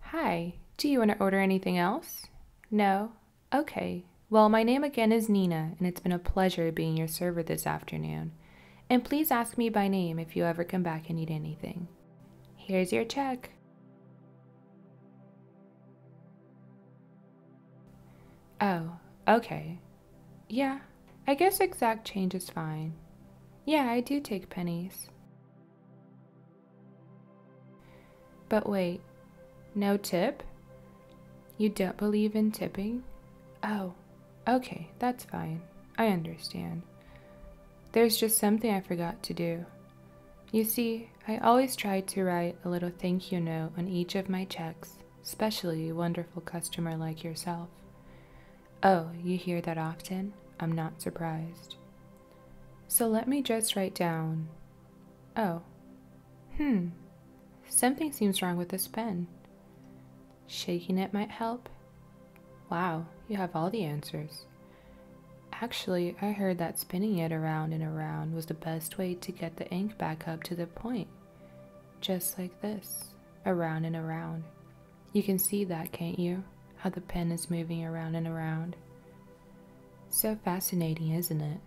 Hi, do you want to order anything else? No? Okay. Well, my name again is Nina, and it's been a pleasure being your server this afternoon. And please ask me by name if you ever come back and need anything. Here's your check. Oh, okay. Yeah, I guess exact change is fine. Yeah, I do take pennies. But wait, no tip? You don't believe in tipping? Oh, okay, that's fine. I understand. There's just something I forgot to do. You see, I always try to write a little thank you note on each of my checks, especially a wonderful customer like yourself. Oh, you hear that often? I'm not surprised. So let me just write down. Oh. Hmm. Something seems wrong with this pen. Shaking it might help. Wow, you have all the answers. Actually, I heard that spinning it around and around was the best way to get the ink back up to the point. Just like this, around and around. You can see that, can't you? How the pen is moving around and around. So fascinating, isn't it?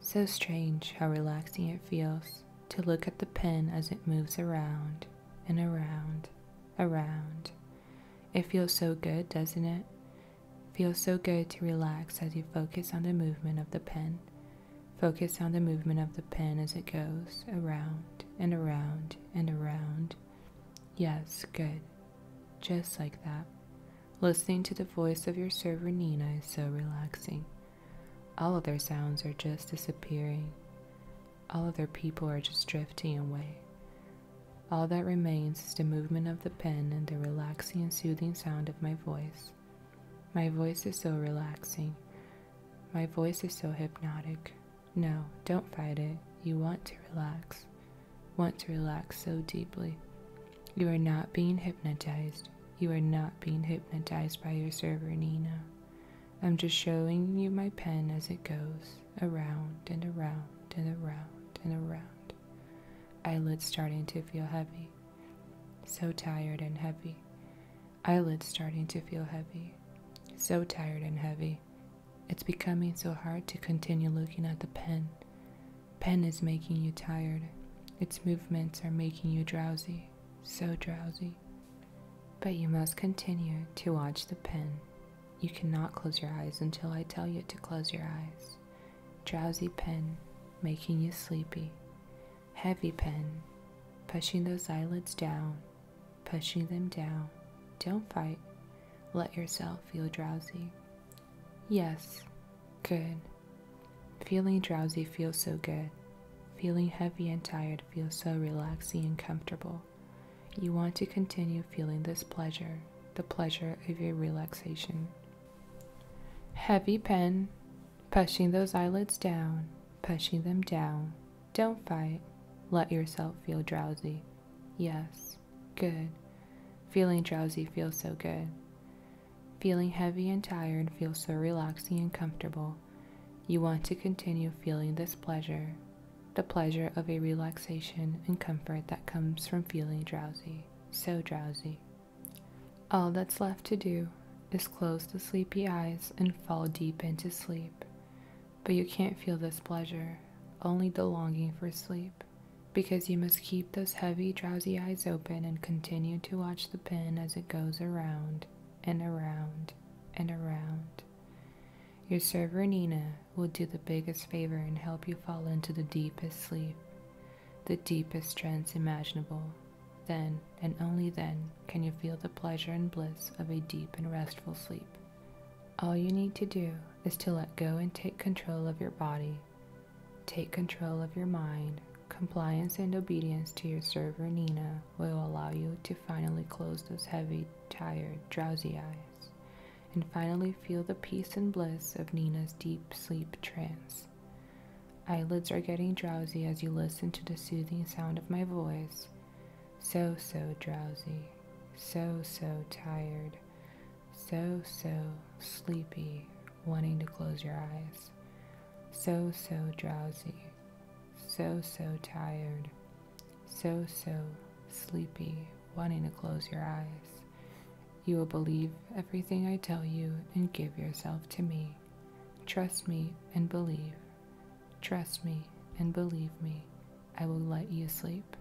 So strange how relaxing it feels to look at the pen as it moves around and around, around. It feels so good, doesn't it? Feels so good to relax as you focus on the movement of the pen. Focus on the movement of the pen as it goes around and around and around Yes, good. Just like that. Listening to the voice of your server Nina is so relaxing. All other sounds are just disappearing. All other people are just drifting away. All that remains is the movement of the pen and the relaxing and soothing sound of my voice. My voice is so relaxing. My voice is so hypnotic. No, don't fight it. You want to relax. Want to relax so deeply. You are not being hypnotized. You are not being hypnotized by your server, Nina. I'm just showing you my pen as it goes around and around and around and around. Eyelids starting to feel heavy. So tired and heavy. Eyelids starting to feel heavy. So tired and heavy. It's becoming so hard to continue looking at the pen. Pen is making you tired. Its movements are making you drowsy, so drowsy. But you must continue to watch the pen. You cannot close your eyes until I tell you to close your eyes. Drowsy pen, making you sleepy. Heavy pen, pushing those eyelids down pushing them down. Don't fight. Let yourself feel drowsy. Yes, good. Feeling drowsy feels so good. Feeling heavy and tired feels so relaxing and comfortable. You want to continue feeling this pleasure, the pleasure of your relaxation. Heavy pen, pushing those eyelids down, pushing them down. Don't fight. Let yourself feel drowsy. Yes, good. Feeling drowsy feels so good. Feeling heavy and tired feels so relaxing and comfortable. You want to continue feeling this pleasure, the pleasure of a relaxation and comfort that comes from feeling drowsy, so drowsy. All that's left to do is close the sleepy eyes and fall deep into sleep but you can't feel this pleasure, only the longing for sleep, because you must keep those heavy, drowsy eyes open and continue to watch the pin as it goes around and around and around. Your server Nina will do the biggest favor and help you fall into the deepest sleep, the deepest trance imaginable. Then and only then can you feel the pleasure and bliss of a deep and restful sleep. All you need to do is to let go and take control of your body, take control of your mind. Compliance and obedience to your server Nina will allow you to finally close those heavy, tired, drowsy eyes and finally feel the peace and bliss of Nina's deep sleep trance. Eyelids are getting drowsy as you listen to the soothing sound of my voice so, so drowsy, so, so tired, so, so sleepy, wanting to close your eyes. So, so drowsy, so, so tired, so, so sleepy, wanting to close your eyes. You will believe everything I tell you and give yourself to me. Trust me and believe. Trust me and believe me. I will let you sleep.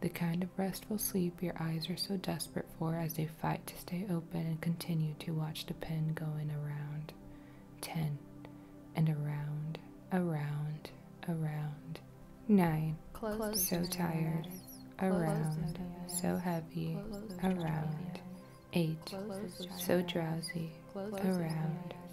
The kind of restful sleep your eyes are so desperate for as they fight to stay open and continue to watch the pen going around. Ten. And around, around, around. Nine. Close so tired. Around. So heavy. Around. Eight. So drowsy. Around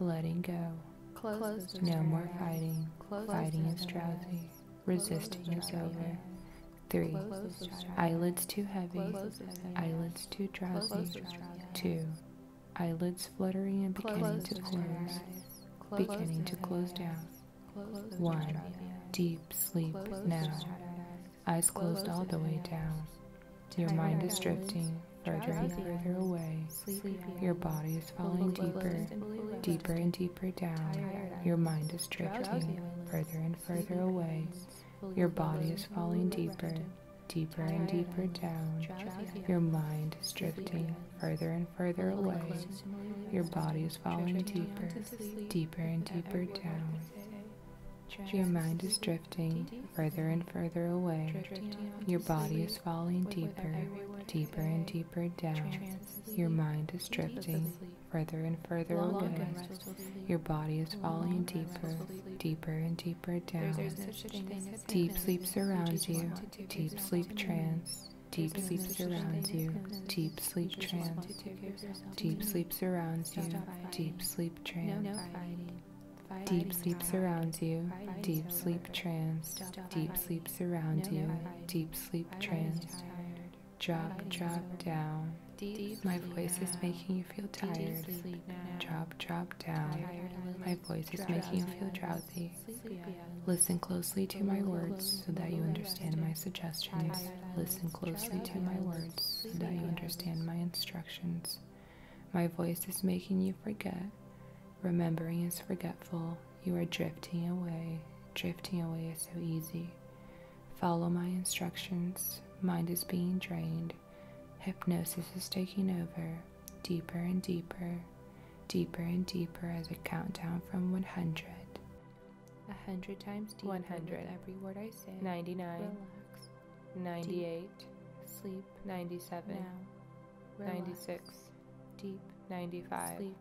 letting go. no more fighting. fighting is drowsy. Resisting is over. 3. Eyelids too heavy. Eyelids too drowsy. 2. Eyelids fluttering and beginning to close. Beginning to close down. 1. Deep sleep now. Eyes closed all the way down. Your mind is drifting further and further away. Your body is falling deeper, deeper and deeper down. Your mind is drifting further and further away. Your body is falling deeper, deeper and deeper down. Your mind is drifting further and further away. Your body is falling deeper, deeper and deeper down. Your mind is drifting further and further away. Your body is falling deeper, deeper and deeper down. Your mind is drifting further and further away. Your body is falling deeper, deeper and deeper down. Deep sleep surrounds you. Deep sleep trance. Deep sleep surrounds you. Deep sleep trance. Deep sleep surrounds you. Deep sleep trance. Deep sleep surrounds you. Deep sleep trance. Deep sleep surrounds you. Deep sleep trance. Drop, drop down. My voice is making you feel tired. Drop, drop down. My voice is making you feel drowsy. Listen closely to my words so that you understand my suggestions. Listen closely to my words so that you understand my instructions. My voice is making you forget. Remembering is forgetful. You are drifting away. Drifting away is so easy. Follow my instructions. Mind is being drained. Hypnosis is taking over. Deeper and deeper. Deeper and deeper as a countdown from 100. 100 times deeper 100. every word I say. 99. Relax. 98. Sleep. 97. 96. Deep. 95. Sleep.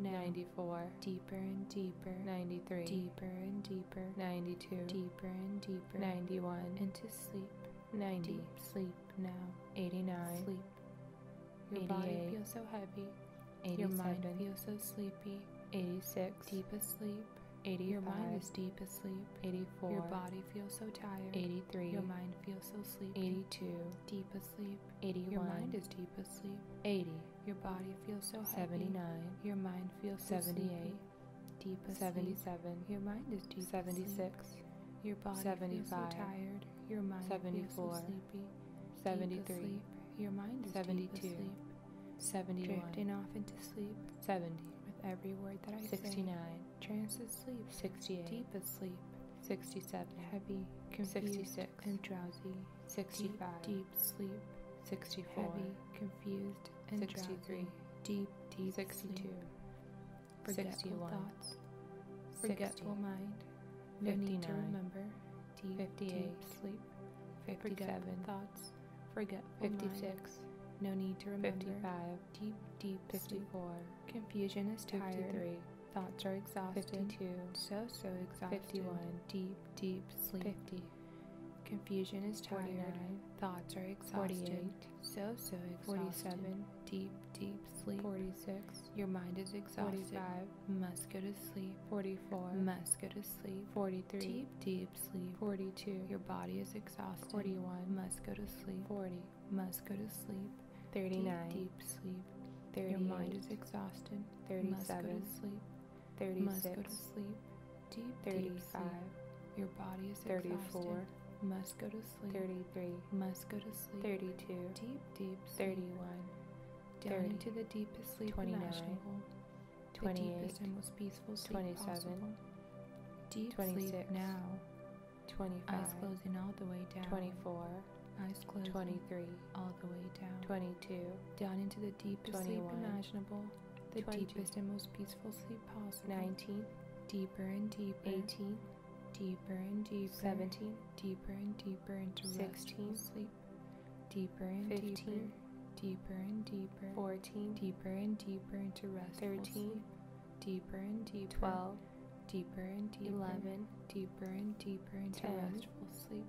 94. Deeper and deeper. 93. Deeper and deeper. 92. Deeper and deeper. 91. Into sleep. 90. sleep now. 89. Sleep. Your body feels so heavy. 87. Your mind feels so sleepy. 86. Deep asleep asleep. 85. Your mind is deep asleep. 84. Your body feels so tired. 83. Your mind feels so sleepy. 82. Deep asleep. 81. Your mind is deep asleep. 80. Your body feels so heavy. 79. Your mind feels 78. deep asleep. 77. Your mind is deep 76. Your body 75. feels so tired. Your mind 74. feels so sleepy. 73. Your mind is 72. Deep asleep. 71. Drifting off into sleep. 70 with every word that I 69. say. 69. Transit sleep. 68. Deep asleep. 67. Heavy, confused, 66. and drowsy. 65. Deep, sleep. 64. Heavy, confused, and 63. Drowsy. Deep, deep 62. Sleep. Forgetful thoughts. Forgetful mind. 59. need to remember. Deep, 58. sleep. 57. thoughts. Forget fifty-six. No need to remember. Fifty-five. Deep, deep. Fifty-four. Confusion is tired. Fifty-three. Thoughts are exhausted. Fifty-two. So so exhausted. Fifty-one. Deep, deep sleep. Fifty. Confusion is tired. 49. Thoughts are exhausted. 48. So, so exhausted. 47. Deep, deep sleep. 46. Your mind is exhausted. 45. Must go to sleep. 44. Must go to sleep. 43. Deep, deep sleep. 42. Your body is exhausted. 41. Must go to sleep. 40. Must go to sleep. 39. Deep, sleep. 30. Your mind is exhausted. 37. Must go to sleep. 36. Must go to sleep. Deep, 35. Your body is 34. Must go to sleep. 33. Must go to sleep. 32. Deep, deep 31. Down 30, into the deepest sleep 29. imaginable. The 27, 26, now. 25, eyes closing all the way down. 24, eyes closed. 23, all the way down. 22, down into the deepest sleep imaginable. The deepest and most peaceful sleep possible. 19, deeper and deeper. 18, deeper and deeper. 17, deeper and deeper into 16, sleep. Deeper and 15, deeper and deeper 14 deeper and deeper into rest 13 deeper and deeper 12 deeper and deeper 11 deeper and deeper into restful sleep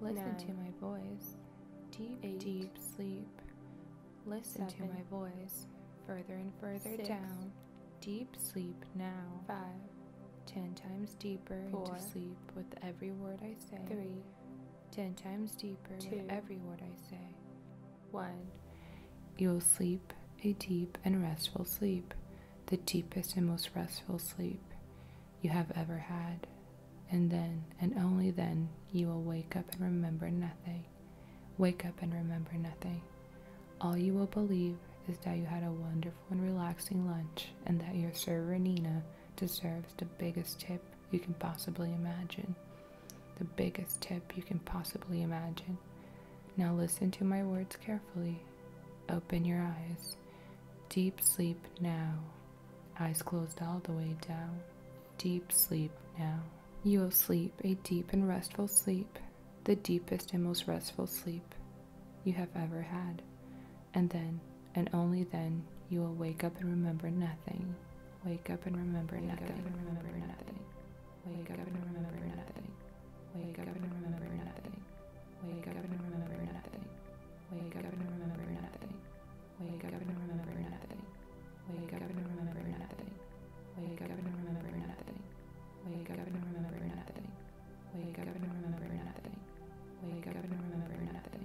listen to my voice deep deep sleep listen to my voice further and further down deep sleep now 5 10 times deeper into sleep with every word i say 3 ten times deeper Two. every word I say. One, you'll sleep a deep and restful sleep, the deepest and most restful sleep you have ever had. And then, and only then, you will wake up and remember nothing. Wake up and remember nothing. All you will believe is that you had a wonderful and relaxing lunch and that your server Nina deserves the biggest tip you can possibly imagine. The biggest tip you can possibly imagine. Now listen to my words carefully. Open your eyes. Deep sleep now. Eyes closed all the way down. Deep sleep now. You will sleep a deep and restful sleep, the deepest and most restful sleep you have ever had. And then, and only then, you will wake up and remember nothing. Wake up and remember nothing. Wake up and remember nothing. Wake up and remember nothing. Wake up and remember nothing. Wake up and remember nothing. Wake up and remember nothing. Wake up and remember nothing. Wake up and remember nothing. Wake up and remember nothing. Wake up and remember nothing. Wake up and remember nothing.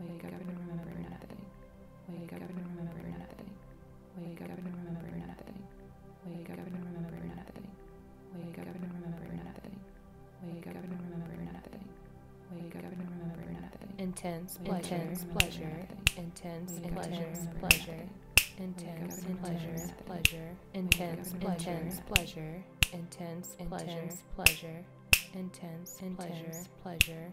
Wake up and remember nothing. Wake up and remember nothing. Wake up and remember nothing. Wake up and remember nothing. Wake up and remember nothing. Wake up and remember nothing. Wake up and remember nothing. Intense pleasure. Intense pleasure. Intense intense pleasure. Intense intense pleasure. Intense intense pleasure. Intense intense pleasure. Intense intense pleasure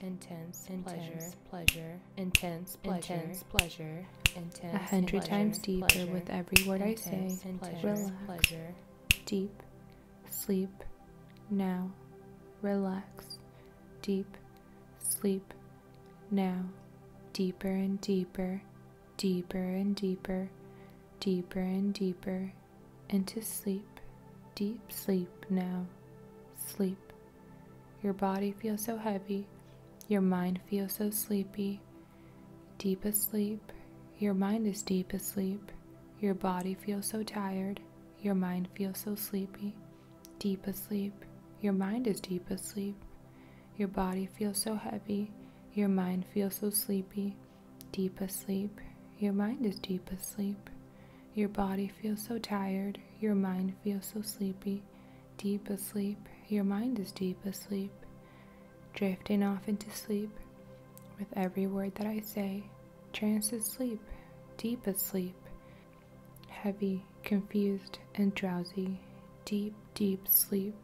intense, intense pleasure, intense, pleasure, intense pleasure, intense, a hundred times deeper with every word I say. relax, pleasure, deep, sleep, now, relax, deep, sleep, now, deeper and deeper, deeper and deeper, deeper and deeper, into sleep, deep sleep now, sleep. Your body feels so heavy, your mind feels so sleepy. Deep asleep, your mind is deep asleep. Your body feels so tired, your mind feels so sleepy. Deep asleep, your mind is deep asleep. Your body feels so heavy, your mind feels so sleepy. Deep asleep, your mind is deep asleep. Your body feels so tired, your mind feels so sleepy, deep asleep, your mind is deep asleep, drifting off into sleep. With every word that I say, trance is sleep, deep asleep, heavy, confused, and drowsy, deep, deep sleep,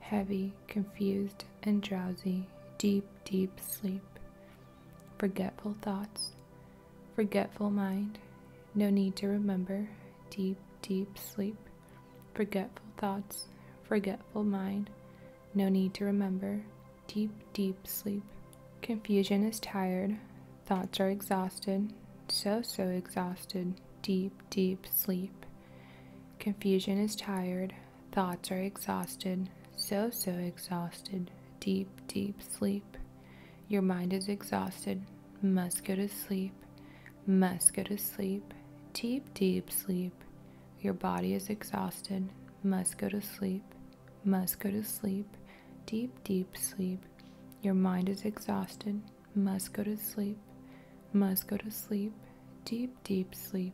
heavy, confused, and drowsy, deep, deep sleep. Forgetful thoughts, Forgetful mind, no need to remember. Deep, deep sleep. Forgetful thoughts, forgetful mind, no need to remember. Deep, deep sleep. Confusion is tired, thoughts are exhausted, so, so exhausted. Deep, deep sleep. Confusion is tired, thoughts are exhausted, so, so exhausted, deep, deep sleep. Your mind is exhausted, must go to sleep, must go to sleep, deep, deep sleep. Your body is exhausted, must go to sleep, must go to sleep, deep, deep sleep. Your mind is exhausted, must go to sleep, must go to sleep, deep, deep sleep.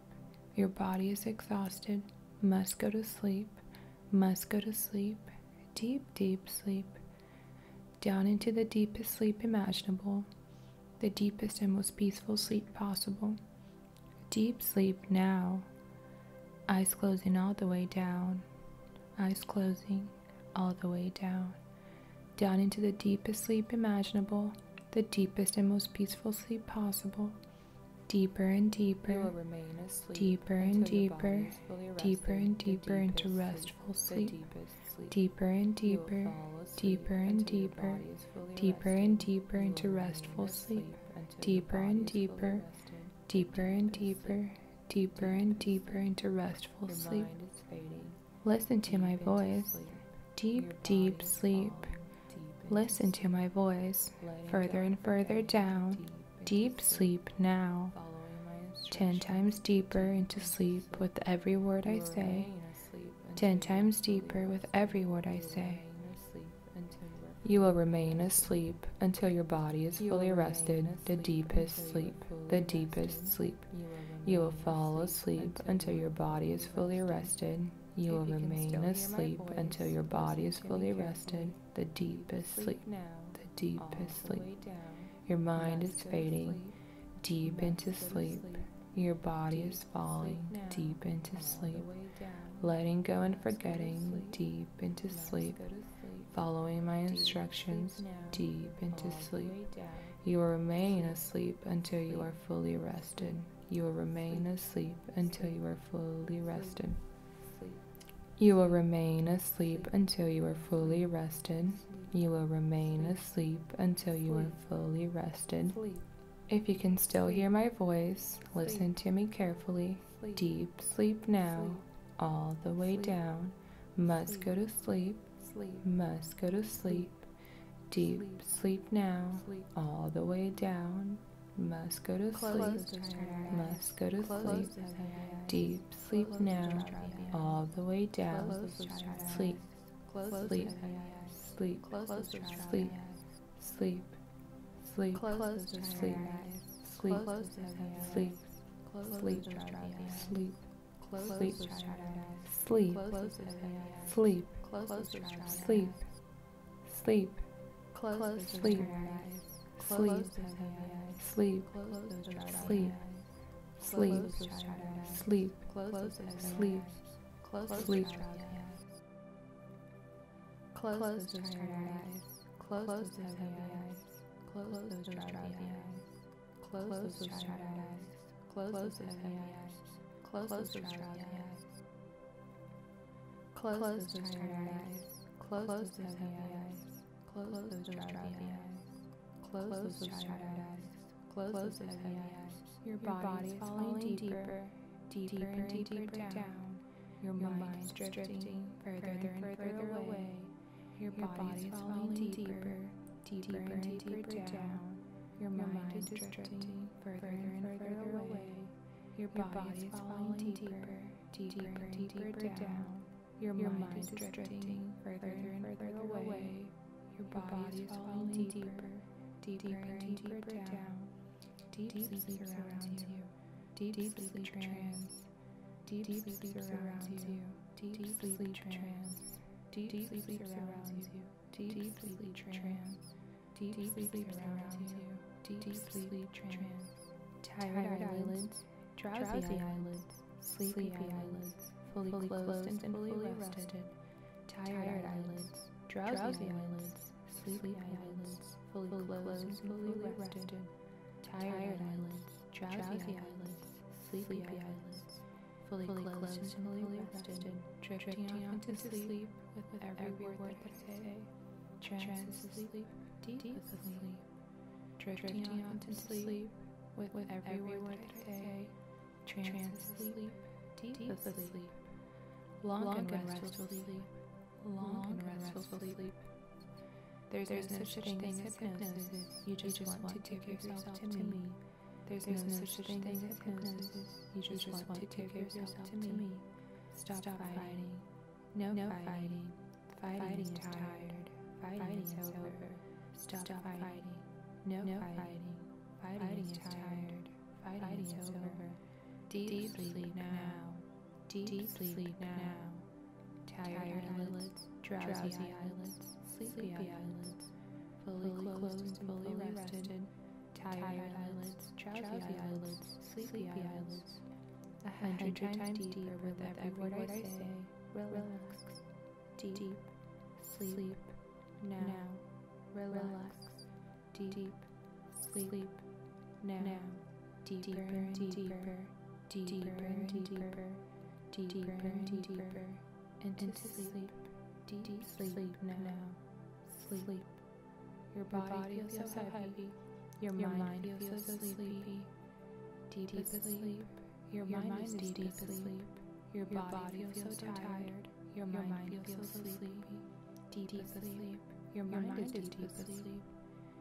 Your body is exhausted, must go to sleep, must go to sleep, deep, deep sleep, down into the deepest sleep imaginable, the deepest and most peaceful sleep possible. Deep sleep now. Eyes closing all the way down, eyes closing all the way down, down into the deepest sleep imaginable, the deepest and most peaceful sleep possible deeper and deeper, deeper and deeper, deeper and deeper into restful sleep, deeper and deeper, deeper and deeper, deeper and deeper into restful sleep, deeper and deeper, deeper and deeper, deeper and deeper into restful sleep. Listen to my voice, deep, deep sleep. Listen to my voice, further and further down Deep sleep now. Ten times deeper into sleep with every word I say. Ten times deeper with every word I say. You will remain asleep until your body is fully rested, the deepest sleep, the deepest sleep. You will fall asleep until your body is fully rested. You will remain asleep until your body is fully rested the deepest sleep, the deepest sleep. Your mind is fading deep into sleep. Your body is falling deep into sleep. Letting go and forgetting deep into sleep. Following my instructions deep into sleep. You will remain asleep until you are fully rested. You will remain asleep until you are fully rested. You will remain asleep until you are fully rested. You will remain asleep until you are fully rested. If you can still hear my voice, listen to me carefully. Deep sleep now, all the way down. Must go to sleep. Must go to sleep. Deep sleep now, all the way down. Must go to Close sleep. Must go to Close sleep. Deep sleep Close now. All the way down. Sleep. Sleep. Sleep. Sleep. Sleep. Sleep. Sleep. Sleep. Sleep. Sleep. Sleep. Sleep. Sleep. Sleep. Sleep. Sleep. Sleep. Close, Close sleep. Sleep. Sleep. Sleep. Sleep. Sleep. Sleep. Sleep. Sleep. Close those tired eyes. Close those heavy eyes. Close those drowsy eyes. Close those tired eyes. Close those heavy eyes. Close those drowsy eyes. Close, Close those, those tired eyes. Close those heavy eyes. Close those drowsy eyes. Close those tired eyes. Close those heavy eyes. Your body is falling deeper, deeper and deeper down. Your mind is drifting further and further away. Your body is falling deeper, deeper and deeper down. Your mind is drifting further and further away. Your body is falling deeper, deeper, deeper down. Your mind is drifting further and further away. Your body is falling deeper, deeper and deeper down. Deep sleep surrounds you. Deep sleep trance. Deep sleep surrounds you. Deep sleep trance. Deep sleep surrounds you. Deep sleep trance. Deep, deep sleep sleeps around you. Deep, deep sleep, sleep trance. Tired, tired eyelids, drowsy, drowsy eyelids, sleepy, sleepy eyelids, fully, fully closed and, and fully rested. Tired, tired eyelids, drowsy, drowsy eyelids, sleepy eyelids, fully closed and fully rested. Tired eyelids, drowsy eyelids, sleepy eyelids, fully closed and fully rested, drifting off into sleep with, with every, every word that I say. Trance sleep, deep, deep sleep, drifting, drifting on to sleep, sleep with, with every word that I say. Trance sleep, deep, deep sleep, long, long and restful sleep, long and restful sleep. There's, there's no such thing as hypnosis. You just, you just want, want to give yourself to me. There's, there's no such thing as hypnosis. You just, you just want, want to give yourself to me. Stop, Stop fighting. No, no fighting. Fighting, fighting is tired. Fighting, fighting is over. Stop, Stop fighting. fighting. No, no fighting. Fighting, fighting is tired. Fighting, fighting is, is over. over. Deep, deep sleep, sleep now. now. Deep, deep sleep, sleep now. now. Tired, tired eyelids, drowsy, drowsy eyelids, sleepy eyelids, fully, fully closed, closed and fully rested. rested tired, tired eyelids, drowsy, drowsy eyelids, sleepy eyelids, a hundred times deeper with every word I say, relax, deep, deep sleep, sleep, now, now, relax, deep, deep sleep, sleep, now, now, deeper and deeper, deeper and deeper, deeper and deeper, into sleep, deep sleep now, sleep. Your body, feels, so heavy. Your, mind, feels, so sleepy. Deep, deep asleep. Your, mind is deep, deep asleep. Your, body feels so tired. Your mind feels so sleepy. Deep, deep asleep. Your mind is deep asleep.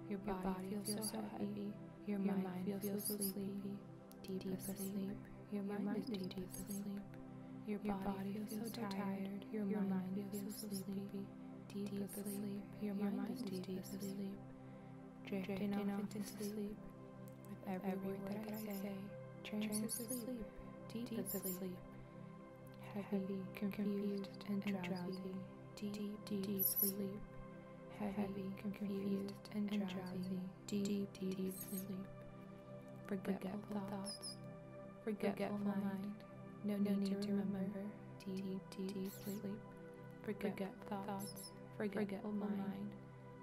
Your body feels so heavy. Your mind feels so sleepy. deep asleep. Your mind is deep asleep. Your body feels so tired. Your mind feels so sleepy deep, deep asleep. asleep. Your, Your mind, is deep, deep asleep. asleep. Drifting, Drifting off into sleep. With every, word that I say, trance is sleep. Deep, deep asleep. Heavy, confused, and drowsy. Deep, deep sleep. Heavy, confused, and drowsy. Deep, deep sleep. Forgetful thoughts Forgetful, mind, no, need, to remember, deep, deep, sleep. Forget, thoughts, forgetful mind,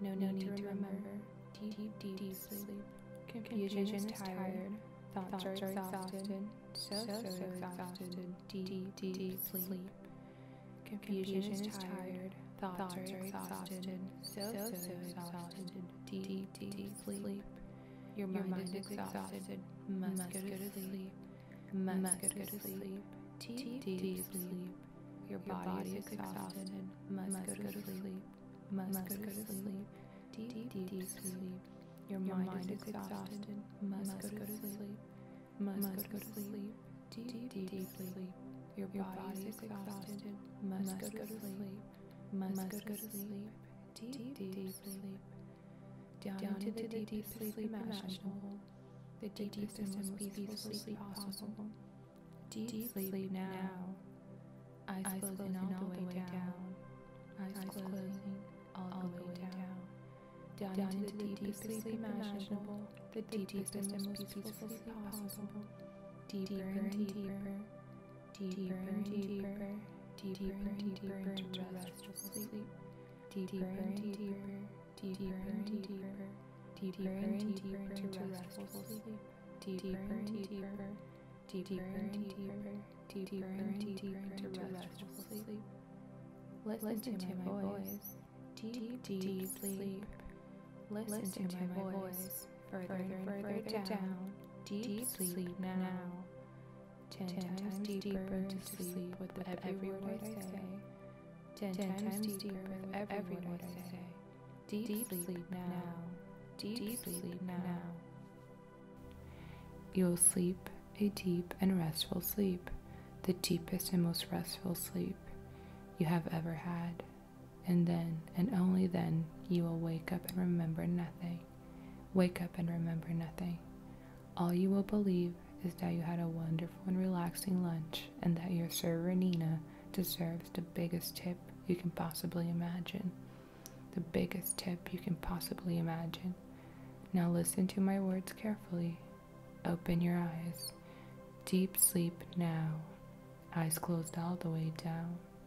no, need, to remember, deep, deep, sleep. Confusion, is tired, thoughts, are exhausted, so, so, exhausted, deep, deep, sleep. Confusion, is tired, thoughts, are exhausted, so, so, exhausted, deep, deep, sleep. Your mind, Your mind is, is exhausted. exhausted. Must, must go to sleep. sleep. Must, must go to sleep. Deep, deep, deep sleep. Your body, Your body is exhausted. exhausted. Must, must go to sleep. sleep. Must, must go to sleep. Deep, deep, deep, deep sleep. Your mind, mind is exhausted. Must, must go to sleep. Must, must go to sleep. Deep, deep, deep, deep sleep. Your body is exhausted. Must, must go to sleep. Must, must go to sleep. Deep, deep, deep sleep down, down into, into the deepest sleep, sleep imaginable, the deepest and most peaceful sleep possible. Deep, deep sleep now. Eyes, eyes closing all the way down. Eyes, eyes closing all the way down. Down, down into the deepest sleep imaginable, the deepest and most peaceful sleep possible. Deeper and deeper deeper and deeper, deeper and deeper into restful sleep, deeper and deeper, deeper and deeper, deeper and deeper into restful sleep, deeper and deeper, deeper and deeper, deeper and deeper into restful sleep. Listen to my voice, deep, deep sleep. Listen to my voice, further and further down, deep sleep now. Ten, ten times, times deeper into sleep with every word I say. Ten times deeper with every word I say. Deep sleep now. Deep sleep now. You'll sleep a deep and restful sleep, the deepest and most restful sleep you have ever had. And then, and only then, you will wake up and remember nothing. Wake up and remember nothing. All you will believe is that you had a wonderful and relaxing lunch and that your server Nina deserves the biggest tip you can possibly imagine. The biggest tip you can possibly imagine. Now listen to my words carefully. Open your eyes. Deep sleep now. Eyes closed all the way down